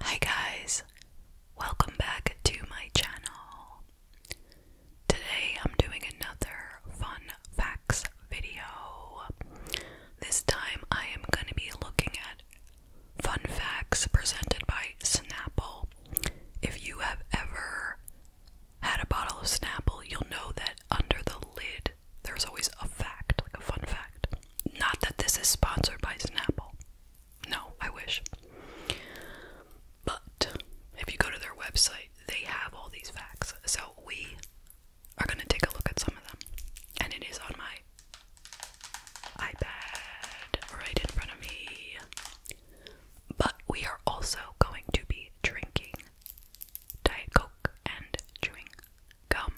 Hi guys, welcome back to my channel. Today I'm doing another fun facts video. This time I am going to be looking at fun facts presented by Snapple. If you have ever had a bottle of Snapple, you'll know that under the lid there's always a fact, like a fun fact. Not that this is sponsored by Snapple. No, I wish. But if you go to their website, they have all these facts. So we are going to take a look at some of them. And it is on my iPad right in front of me. But we are also going to be drinking Diet Coke and chewing gum.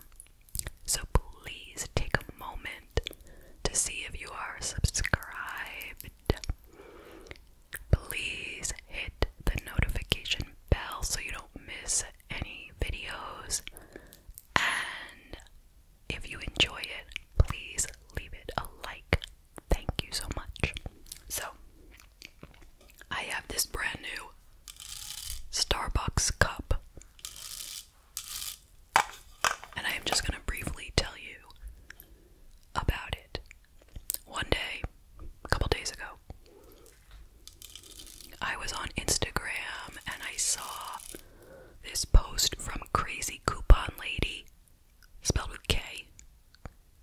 So please take a moment to see if you are subscribed. Please hit the notification bell so you don't miss any videos. And if you enjoy it, please leave it a like. Thank you so much. So, I have this brand new Starbucks cup. And I am just going to briefly tell you about it. One day, a couple days ago, I was on Instagram and I saw this post from Crazy Coupon Lady, spelled with K.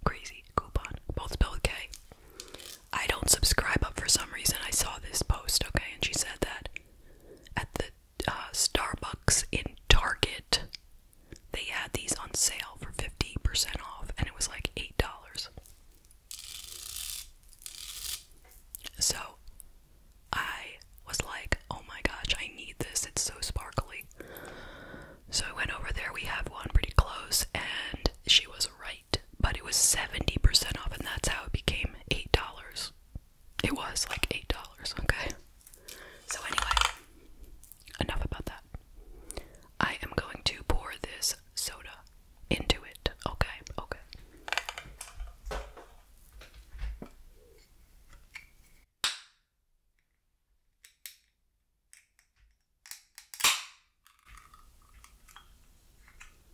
Crazy Coupon, both spelled with K. I don't subscribe, but for some reason I saw this post, okay, and she said that at the uh, Starbucks in Target. They had these on sale for 50% off, and it was like $8. So I was like, oh my gosh, I need this. It's so sparkly. So I went over there. We have one pretty close, and she was right. But it was 70% off, and that's how it became $8. It was like eight dollars, okay? So, anyway, enough about that. I am going to pour this soda into it, okay? Okay.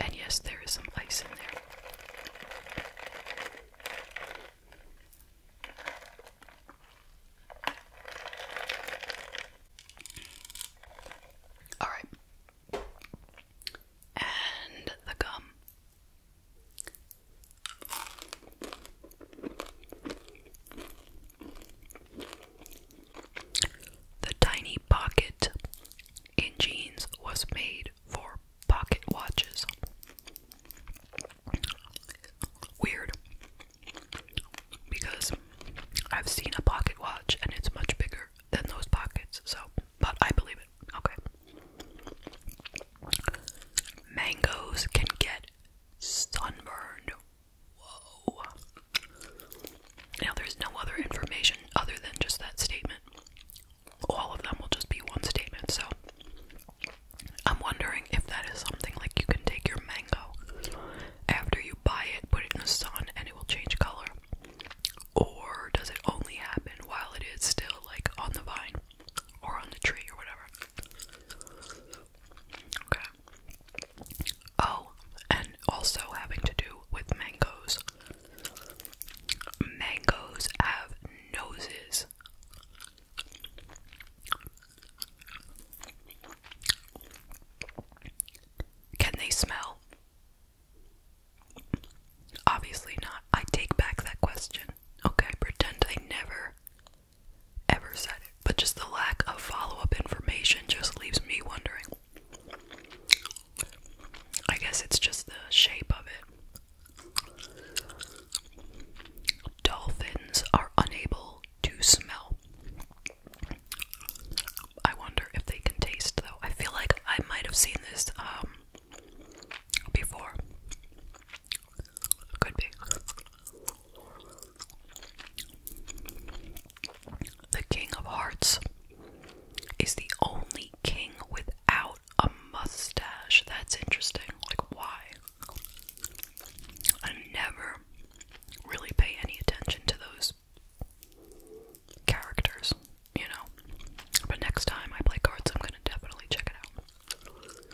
And yes, there is some ice in there. All right. And the gum. The tiny pocket in jeans was made for pocket watches. Weird. Because I've seen a pocket watch and it's much bigger than those pockets, so, but I believe it. Okay. Mangoes can get sunburned now, there's no other information other than just that statement. All of them will just be one statement, so I'm wondering if that is something like you can take your mango after you buy it, put it in the sun, and it will change color. Or does it only happen while it is still like on the vine or on the tree or whatever? Okay. Oh, and also having to do with mangoes. Mangoes have noses. Can they smell? Obviously not. I take back that question. Okay, pretend I never ever said but just the lack of follow up information just leaves me wondering. I guess it's just the shape of it. Dolphins are unable to smell. I wonder if they can taste, though. I feel like I might have seen this um, before. Could be. The King of Hearts is the only king without a mustache. That's interesting. Like, why? I never really pay any attention to those characters, you know. But next time I play cards, I'm gonna definitely check it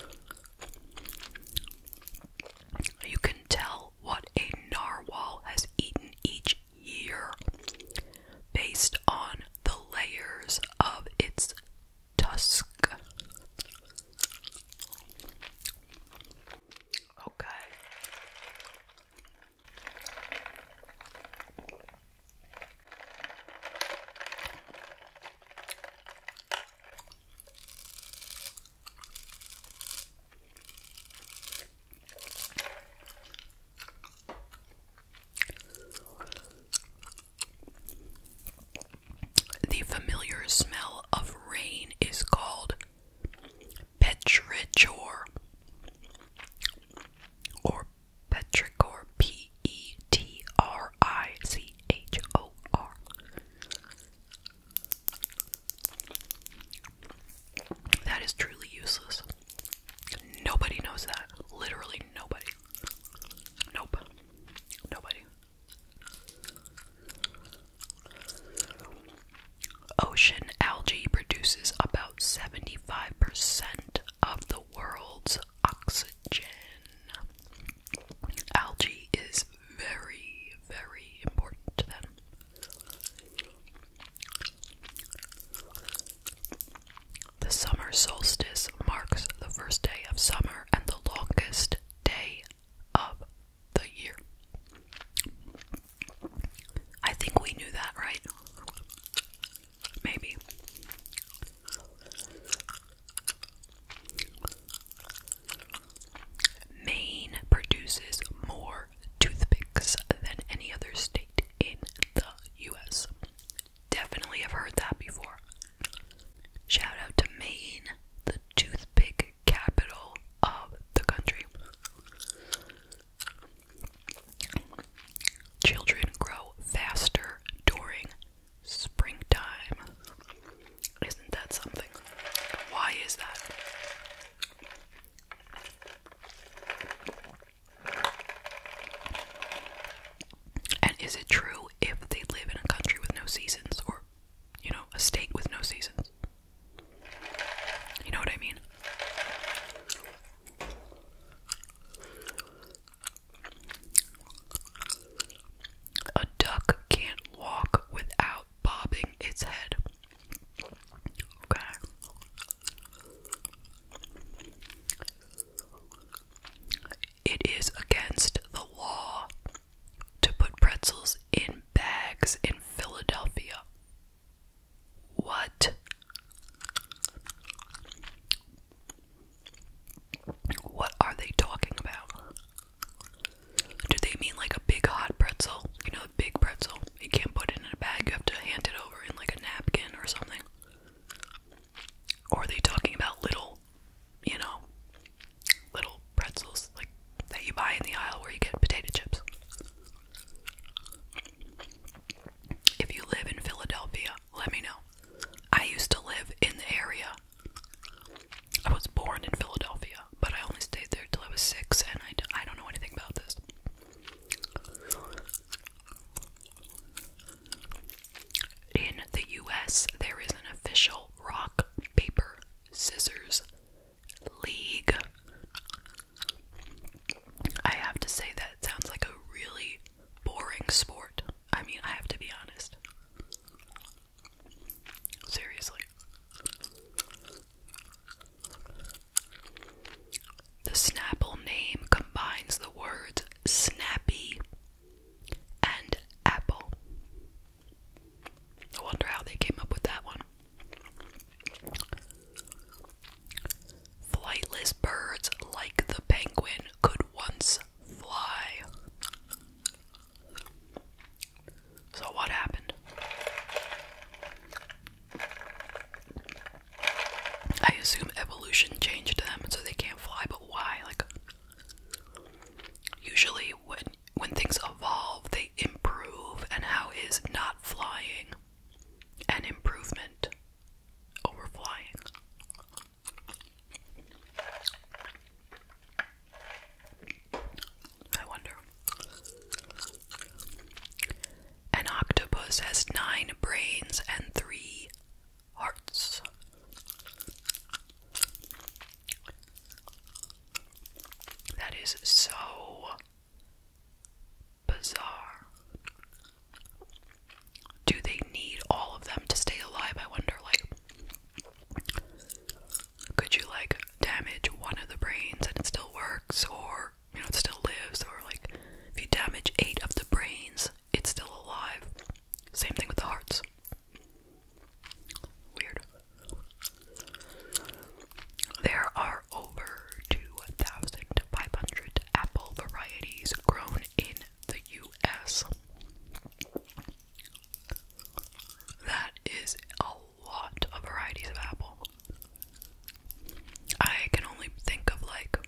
out. You can tell what a narwhal has eaten each year based on the layers of its tusk. Okay. The familiar smell of rain is called petrichor or petrichor P E T R I C H O R that is truly useless. Nobody knows that. Literally nobody. Nope. Nobody. Ocean algae produces about 75% of the world's oxygen. Algae is very, very important to them. The summer solstice marks the first day of summer and the longest day of the year. I think we knew that, right? Maybe. Maine produces more toothpicks than any other state in the US. Definitely have heard that before. Shout out to Maine, the toothpick capital of the country. Children grow faster during springtime. Isn't that something? Why is that? And is it true if they live in a country with no seasons or, you know, a state with no seasons? You know what I mean? A duck can't walk without bobbing its head. Okay. It is against the law to put pretzels in bags in Philadelphia. What? What are they talking about? Do they mean like a big hot pretzel? You know, a big pretzel. You can't put it in a bag, you have to hand it over in like a napkin or something. Or are they talking about little, you know, little pretzels like that you buy in the aisle where you get potato chips? If you live in Philadelphia, let me know. I used to live in the area I was born in Philadelphia, but I only stayed there till I was six, and I d I don't know anything about this. In the US, there is an official rock, paper, scissors league. I have to say that sounds like a really boring sport. I mean, I have to be honest. Seriously. The Snapple name combines the words snappy and apple. I wonder how they came up with that one. Flightless birds like the penguin could once fly. So, what happened? I assume evolution changed them so they can't fly, but why? Like, usually when when things evolve, they improve, and how is not flying an improvement over flying? I wonder. An octopus has nine brains and three hearts. That is so bizarre. Do they need all of them to stay alive? I wonder, like, could you like damage one of the brains and it still works or you know it still lives or like if you damage eight of the brains it's still alive same thing with the hearts weird there are over 2500 apple varieties grown in the US that is a lot of varieties of apple. I can only think of like,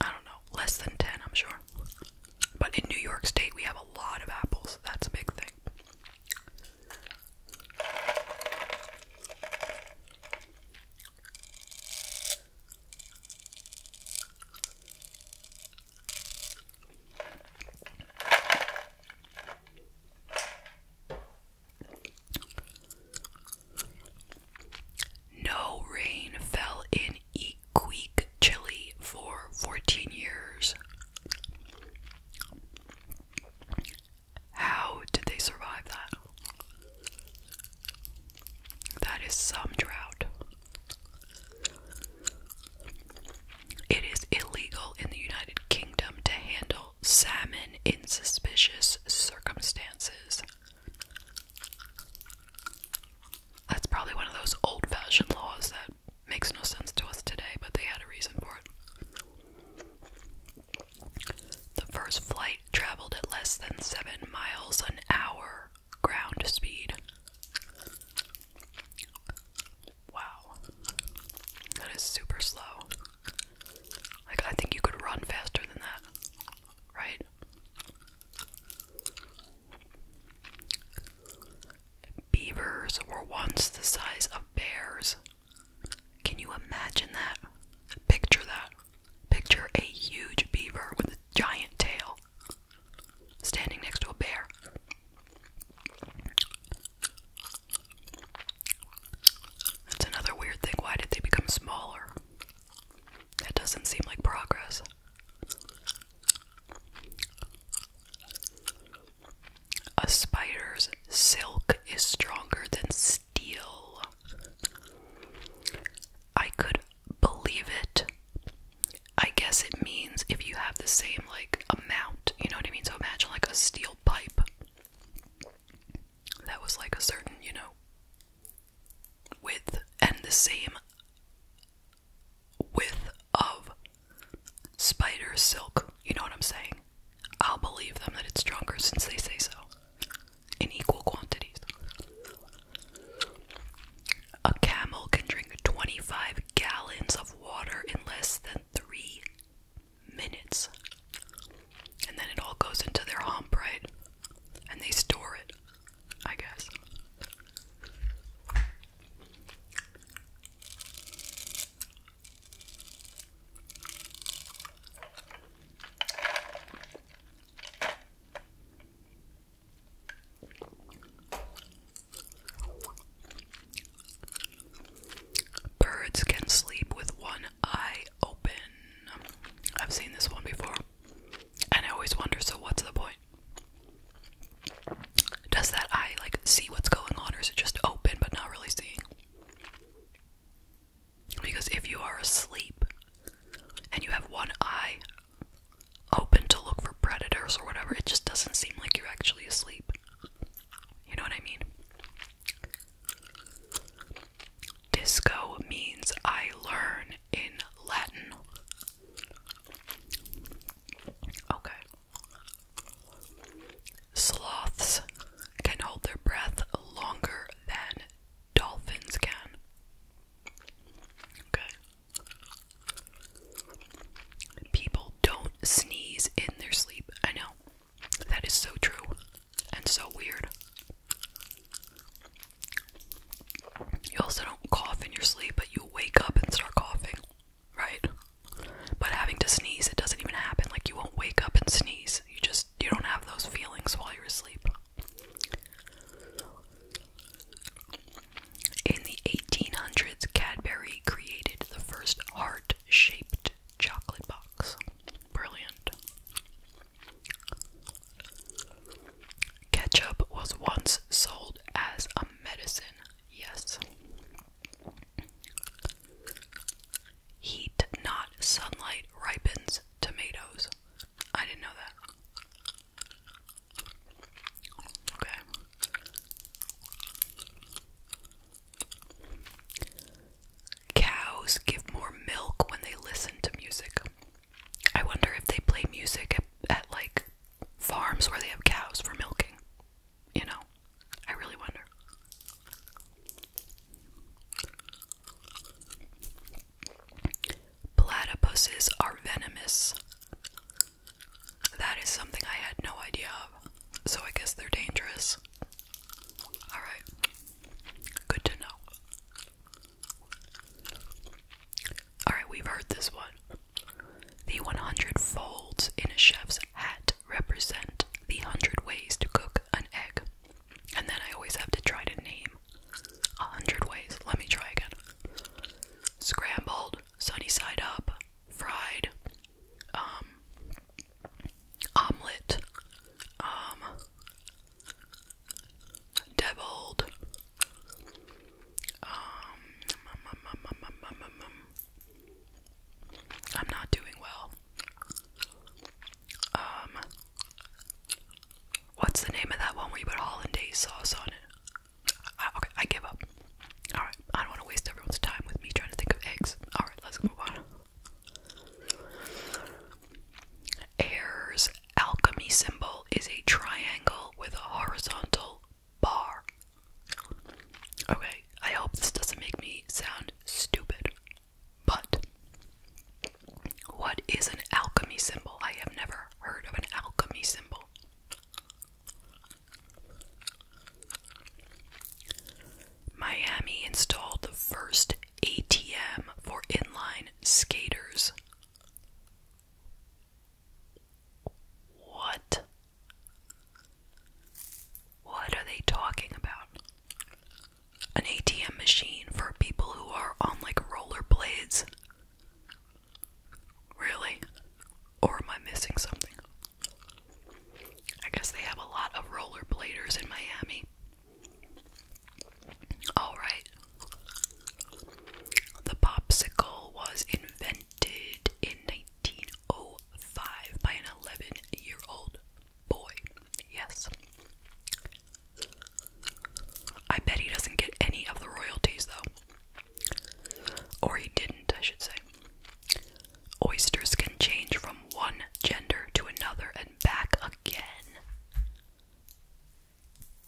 I don't know, less than 10, I'm sure. But in New York State, we have a lot of apples. That's a big thing. No rain fell in Iquique, Chile for 14 years. How did they survive that? That is some drought. It is illegal in the United Kingdom to handle salmon in suspicious circumstances. That's probably one of those old fashioned laws that makes no sense to us today, but they had a reason for it. The first flight traveled at less than seven miles an hour ground speed. Wow. That is super slow. Like, I think you could run faster than that, right? Beavers were once the size of bears. Can you imagine that? Picture that. Picture a huge beaver with a giant tail standing next to a bear. That's another weird thing. Why did they become smaller? That doesn't seem like progress. A spider's silk is stronger than steel. I could believe it, I guess it means if you have the same like amount, you know what I mean? So imagine like a steel pipe that was like a certain, you know, width and the same width of spider silk, you know what I'm saying? I'll believe them that it's stronger since they say so in equal quantities. A camel can drink 25 gallons of water in less than three minutes. And then it all goes into their hump, right? And they store it, I guess. Birds can sleep with one eye open. I've seen this one before. And I always wonder so, what's the point? Does that eye like see what's going on, or is it just open but not really seeing? Because if you are asleep and you have one eye open to look for predators or whatever. It just doesn't seem like you're actually asleep. You know what I mean? Disco means I learn in Latin. Okay. Sloths can hold their breath longer than dolphins can. Okay. People don't sneeze in their sleep. I know. That is so true and so weird. You also don't cough in your sleep, but you wake up and start coughing, right? But having to sneeze, it doesn't even happen. Like you won't wake up and sneeze. You just you don't have those feelings while you're asleep. In the 1800s, Cadbury created the first heart shaped chocolate box. Brilliant. Ketchup was once sold as a medicine. Yes. Heat, not sunlight, ripens tomatoes. I didn't know that. Cows give more milk when they listen to music. I wonder if they play music at, at like farms where they have cows for milking. You know, I really wonder. Platypuses are venomous. That is something I had no idea of, so I guess they're dangerous. Alright, good to know. Alright, we've heard this one. The 100 folds in a chef's hat represent the 100 ways to cook an egg. And then I always have to try to name 100 ways. Let me try again scrambled, sunny side up, fried, omelet, deviled, I'm not doing well. Um, what's the name of that one where you put hollandaise sauce on it? Ah, okay, I give up. Alright, I don't want to waste everyone's time with me trying to think of eggs. Alright, let's move on. Ayer's alchemy symbol is a triangle with a horizontal bar. Okay, I hope this doesn't make me sound stupid, but what is an alchemy symbol? I have never heard of an alchemy symbol. Miami installed the first ATM for inline skaters. What? What are they talking about? An ATM machine for people who are on like rollerblades. Really? Or am I missing something? I guess they have a lot of rollerbladers in Miami. Alright. The popsicle was invented in 1905 by an 11 year old boy. Yes. I bet he doesn't get any of the royalties though. Or he didn't, I should say. Oysters can change from one gender to another and back again.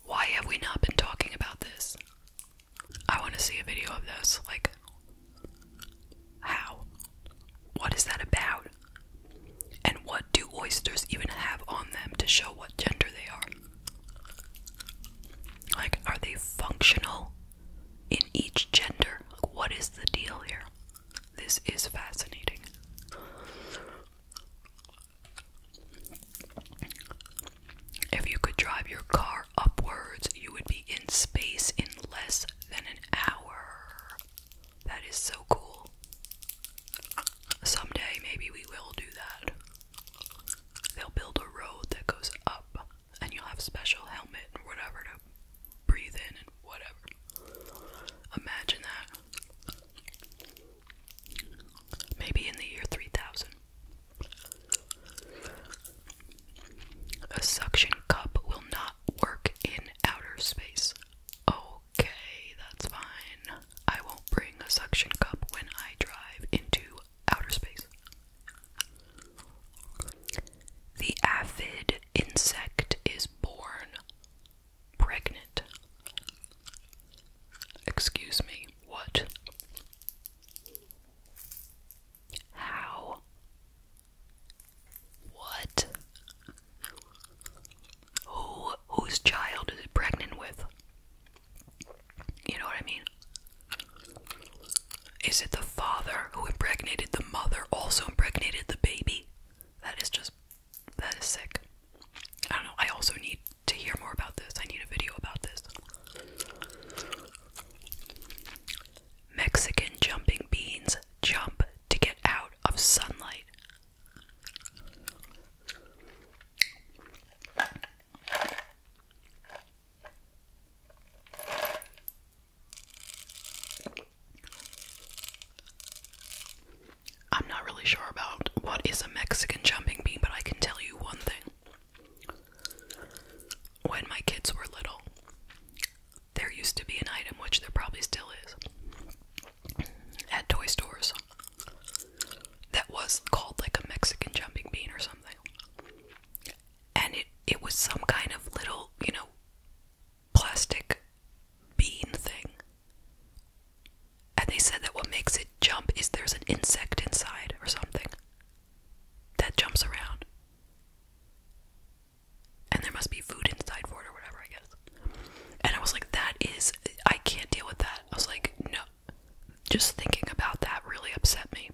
Why have we not been talking about this? I want to see a video of this. Like, how? What is that about? And what do oysters even have on them to show what gender they are? Like, are they functional in each gender? what is the deal here? This is fascinating. If you could drive your car upwards, you would be in space in less than an hour. That is so cool. Someday, maybe we will do that. They'll build a road that goes up, and you'll have special helmet and whatever to breathe in and whatever. Imagine that. Maybe in the year 3000. A suction cup will not work in outer space. Okay, that's fine. I won't bring a suction cup when I drive into outer space. The aphid insect is born pregnant. Excuse me, what? How? What? Who whose child is it pregnant with? You know what I mean? Is it the father who impregnated the mother also impregnated the baby? That is just that is sick. I don't know. I also need to hear more about this. I need a video about this. Mexican jumping beans jump to get out of sunlight. I'm not really sure about what is a Mexican jumping bean, but I can tell you one thing. When my kids were little, there used to be an item, which there probably still is, at toy stores that was called like a Mexican jumping bean or something. And it, it was some kind of little, you know, plastic bean thing. And they said that what makes it jump is there's an insect inside or something that jumps around. And there must be food inside for it or whatever, I guess. And I was like, that is, I can't deal with that. I was like, no, just thinking about that really upset me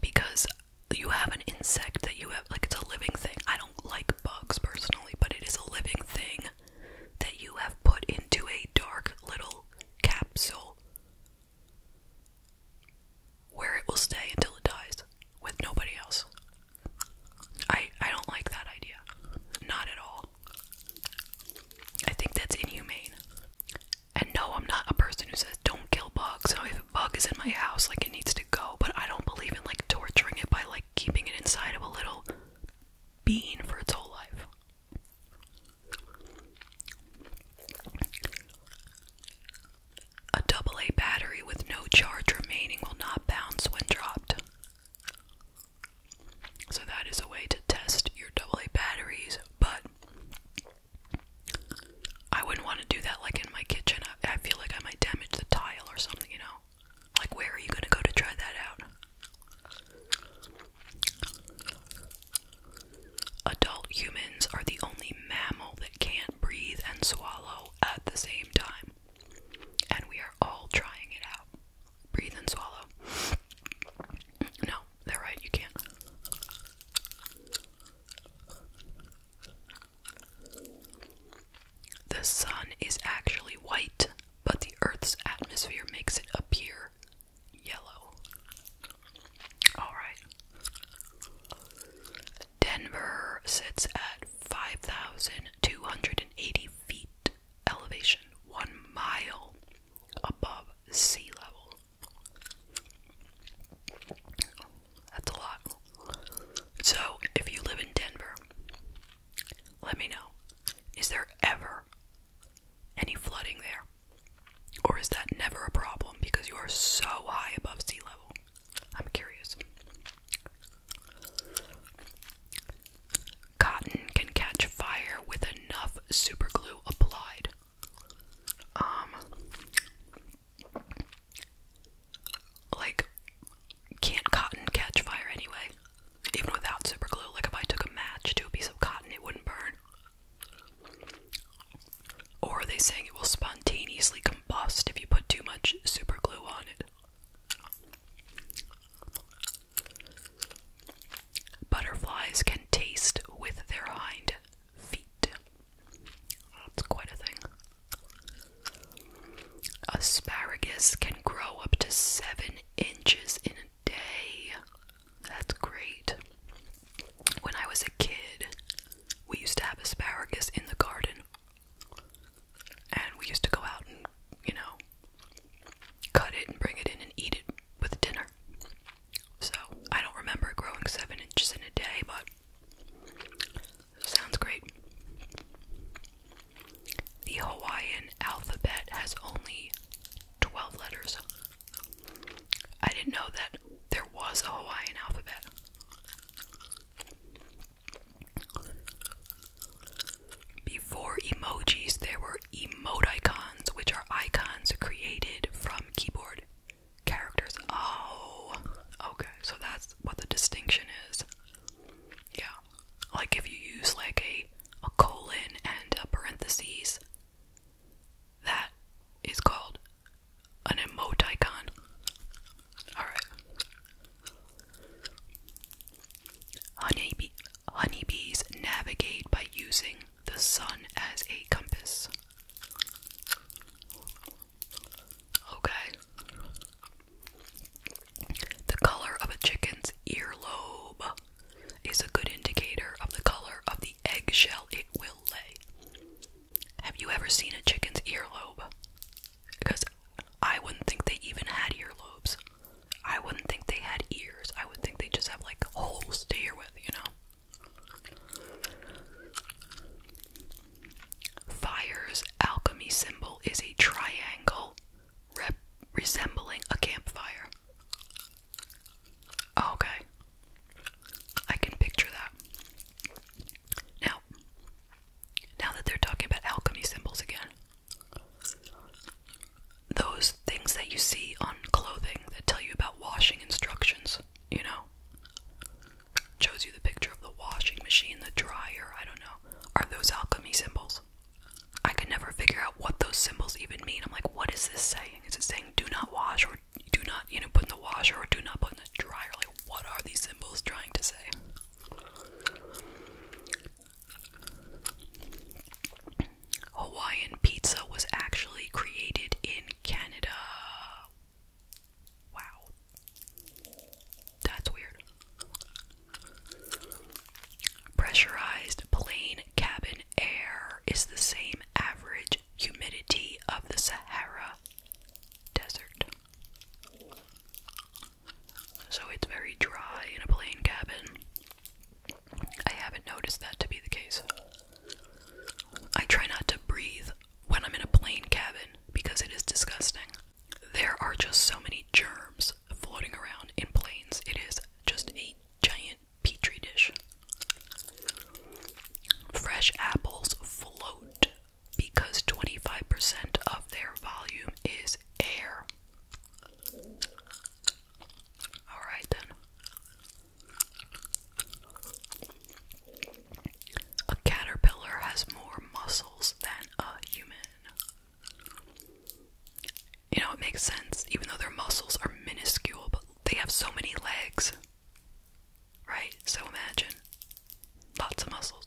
because you have an insect that you have like it's a living thing. I don't like bugs personally, but it is a living thing that you have put into a dark little capsule where it will stay until it dies with nobody else. I I don't like that idea. Not at all. I think that's inhumane. And no, I'm not a person who says don't kill bugs. Now, if a bug is in my house, like it needs to go, but I don't believe in like torturing it by like keeping it inside of a little bean for its whole life. A double A battery with no charge remaining will not bounce when dropped. So that is a way to test your AA batteries, but I wouldn't want to do that like in my kitchen. I, feel like I might damage the tile or something, you know? Like, where are you going to go to try that out? Adult humans are the only mammal that can't breathe and swallow at the same time. And we are all trying it out breathe and swallow. No, they're right, you can't. The sun is actually white, but the Earth's atmosphere makes it appear yellow. Alright. Denver sits at 5,280 feet elevation, one mile above sea level. That's a lot. So, if you live in Denver, let me know. Is there ever any flooding there? Or is that never a problem because you are so high above sea level? I'm curious. Cotton can catch fire with enough superglue applied. Um, like, can't cotton catch fire anyway? Even without superglue, like if I took a match to a piece of cotton, it wouldn't burn. Or are they saying it will spontaneously combust if you put too much superglue on it? Butterflies can taste with their hind feet. That's quite a thing. Asparagus can grow up to seven inches in a day. That's great. When I was a kid, we used to have asparagus in the garden and we used to go out and, you know, cut it and bring it in and eat it with dinner. So I don't remember growing seven inches in a day, but sounds great. The Hawaiian alphabet has only 12 letters. I didn't know that there was a Hawaiian alphabet. Before emojis, there were emoticons, which are icons created from keyboard characters. Oh, okay, so that's what the distinction is. Yeah, like if you use like a, a colon and a parenthesis, that is called an emoticon. Alright honeybees navigate by using the sun as a compass. Okay. The color of a chicken's earlobe is a good indicator of the color of the eggshell it will lay. Have you ever seen a chicken's earlobe? Because I wouldn't think they even had earlobes. I wouldn't think they had ears. I would think they just have like holes to hear with, you know? Fire's alchemy symbol is a triangle resembling a campfire. Oh, okay. I can picture that. Now, now that they're talking about alchemy symbols again, those things that you see on clothing that tell you about washing instructions, you know? Shows you the picture of the washing machine, the dryer, I don't know. Are those alchemy symbols? I can never figure out what those symbols even mean. I'm like, what is this saying? Is it saying do not wash or do not, you know, put in the washer or do not put in the dryer? Like, what are these symbols trying to say? Hawaiian pizza was actually created in Canada. Wow. That's weird. Pressurized plain cabin air is the same average humidity of the Sahara Desert so it's very dry in a plane cabin. I haven't noticed that to be the case. I try not to breathe when I'm in a plane cabin because it is disgusting. There are just so many germs floating around in planes. It is just a giant petri dish. Fresh apples float because 25% of their volume is air. Alright then. A caterpillar has more muscles than a human. You know, it makes sense, even though their muscles are minuscule, but they have so many legs. Right? So imagine. Lots of muscles.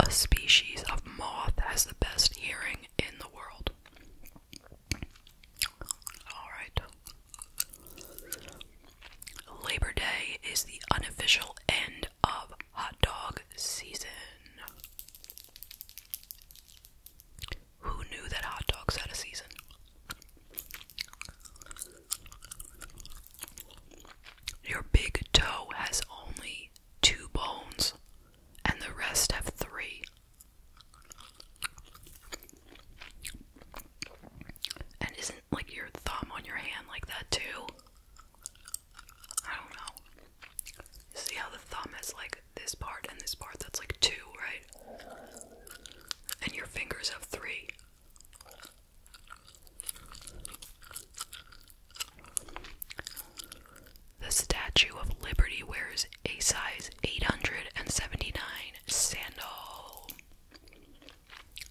a species of moth has the best hearing in the world. Alright. Labor Day is the unofficial end of hot dog season. Who knew that hot dogs had a season? Your big toe has only two bones and the rest have three. And isn't like your thumb on your hand like that too? I don't know. See how the thumb has like this part and this part that's like two, right? And your fingers have three. The Statue of Liberty wears a size 879 sandal.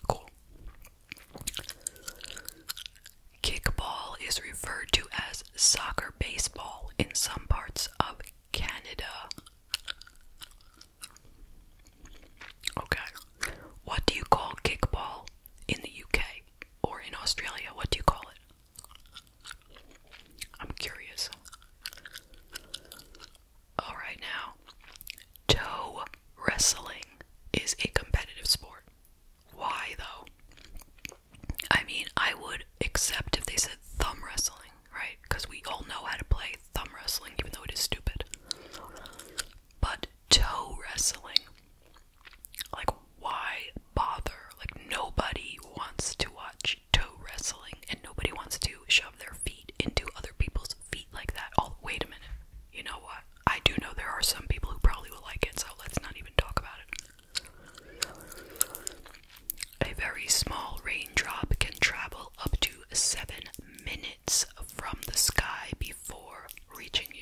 Cool. Kickball is referred to as soccer baseball in some parts of Canada. Okay. What do you call kickball in the UK? or in Australia, what do you call it? I'm curious. Alright, now, toe wrestling is a competitive sport. Why, though? I mean, I would accept if they said thumb wrestling, right? Because we all know how to play thumb wrestling, even though it is stupid. But toe wrestling, like, why bother? Like, nobody wants to watch toe wrestling, and nobody wants to shove their feet into other people's feet like that. Oh, wait a minute. You know what? I do know there are some people who probably will like it, so let's not even talk about it. A very small raindrop can travel up to seven minutes from the sky before reaching you.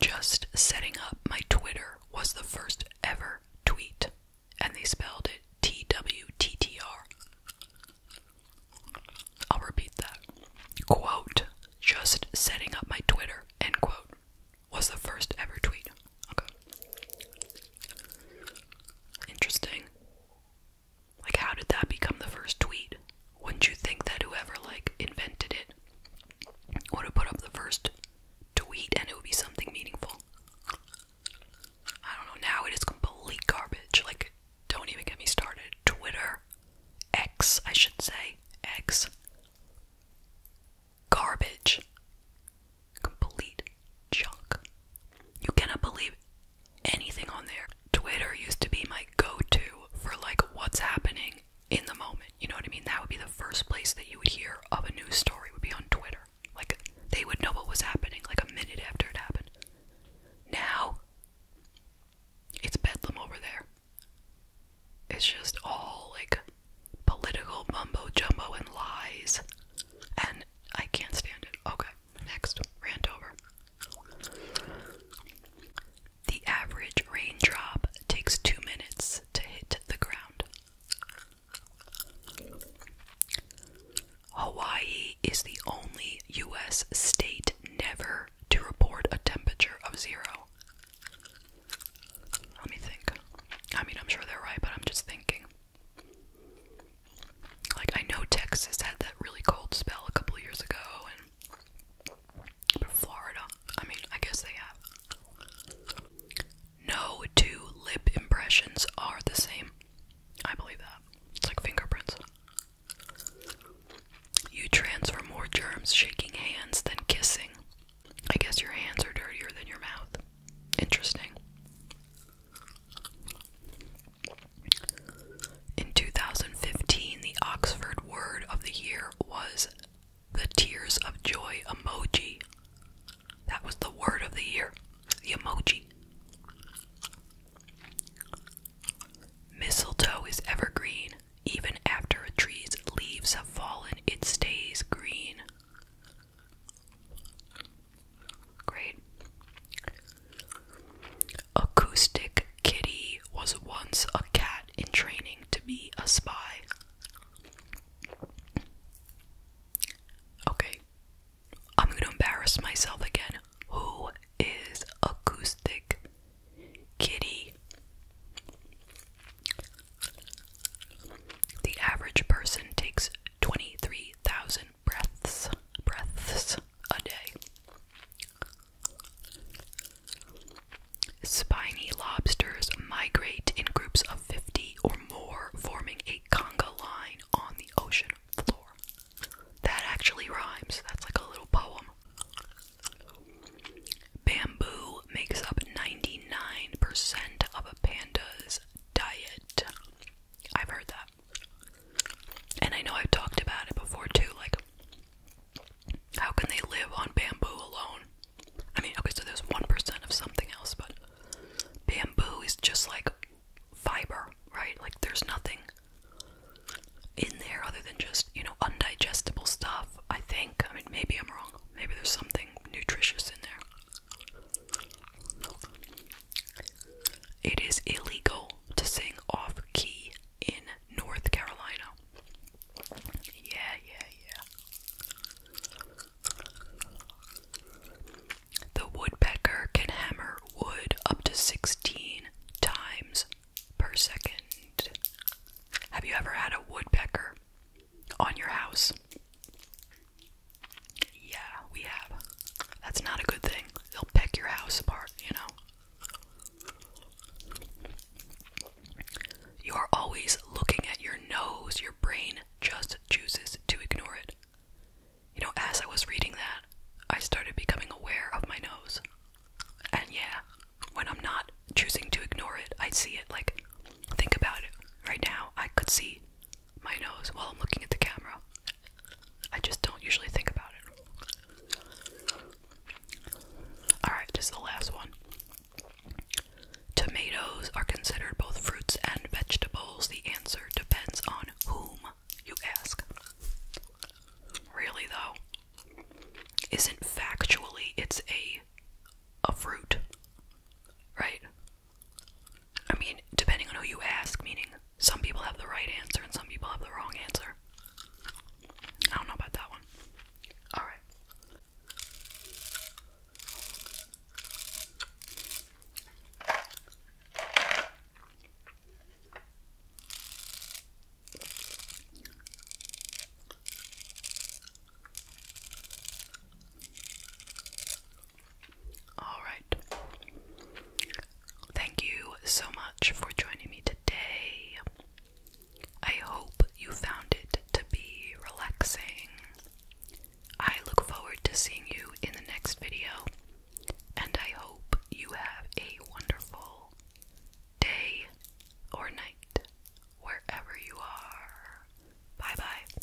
Just setting up my Twitter was the first ever tweet, and they spelled it TWTTR. will repeat that. Quote, just setting up my Twitter, end quote, was the first ever tweet. Okay. Interesting. Like, how did that become the first tweet? Wouldn't you think that whoever, like, invented it would have put up the first tweet and it would be something meaningful? I don't know. Now it is complete garbage. Like, don't even get me started. Twitter, X, I should say, X. Garbage. Complete junk. You cannot believe anything on there. Twitter used to be my go to for like what's happening in the moment. You know what I mean? That would be the first place that you would hear of a news story would be on Twitter. Like they would know what was happening like a minute after it happened. Now it's bedlam over there. It's just all like political mumbo jumbo and lies. And I can't stand it. Okay next Randover. The average raindrop takes two minutes to hit the ground. Hawaii is the only U.S. state never to report a temperature of zero. Let me think. I mean, I'm sure they're right, but I'm just thinking. Like I know Texas had that really cold spell a couple years ago, and Florida. I mean, I guess they have. No two lip impressions are the same. I believe that. It's like fingerprints. You transfer more germs shaking hands than kissing. I guess your hands are dirtier than your mouth. Interesting. In 2015, the Oxford Word of the Year was the Tears of Joy emoji. That was the word of the year, the emoji. Mistletoe is evergreen. Even after a tree's leaves have fallen, it stays green. Great. Acoustic Kitty was once a cat in training to be a spy. Okay. I'm going to embarrass myself again. Who is Acoustic Kitty? The average person takes 23,000 breaths breaths a day. Spiny lobsters migrate in groups of 50 or more, forming a conga line on the ocean floor. That actually rhymes. That's like a little poem. Bamboo makes up 99% of a panda's diet. I've heard that. And I know I've talked about it before too, like how can they live on bamboo alone? I mean, okay, so there's 1% of something else, but bamboo is just like fiber, right? Like there's nothing in there other than just, you know, undigestible stuff, I think. I mean, maybe I'm wrong. Maybe there's something nutritious in there. It is illegal to sing off key in North Carolina. Yeah, yeah, yeah. The woodpecker can hammer wood up to 16 times per second. Have you ever had a woodpecker on your house? Yeah, we have. That's not a good thing. They'll pick your house apart, you know. You are always looking at your nose. Your brain just chooses to ignore it. You know, as I was reading that, I started becoming aware of my nose. And yeah, when I'm not choosing to ignore it, I see it. Like, think about it. Right now, I could see my nose while I'm looking at the camera. I just don't usually think about it. Alright, this is the last one. Tomatoes are considered both fruits and vegetables. The answer depends on whom you ask. Really, though, isn't factually it's a a fruit, right? I mean, depending on who you ask, meaning some people have the right answer and some people have the wrong answer. I don't know about that one. Alright. Alright. Thank you so much for joining me today. I hope you found it to be relaxing. I look forward to seeing you in the next video, and I hope you have a wonderful day or night wherever you are. Bye bye.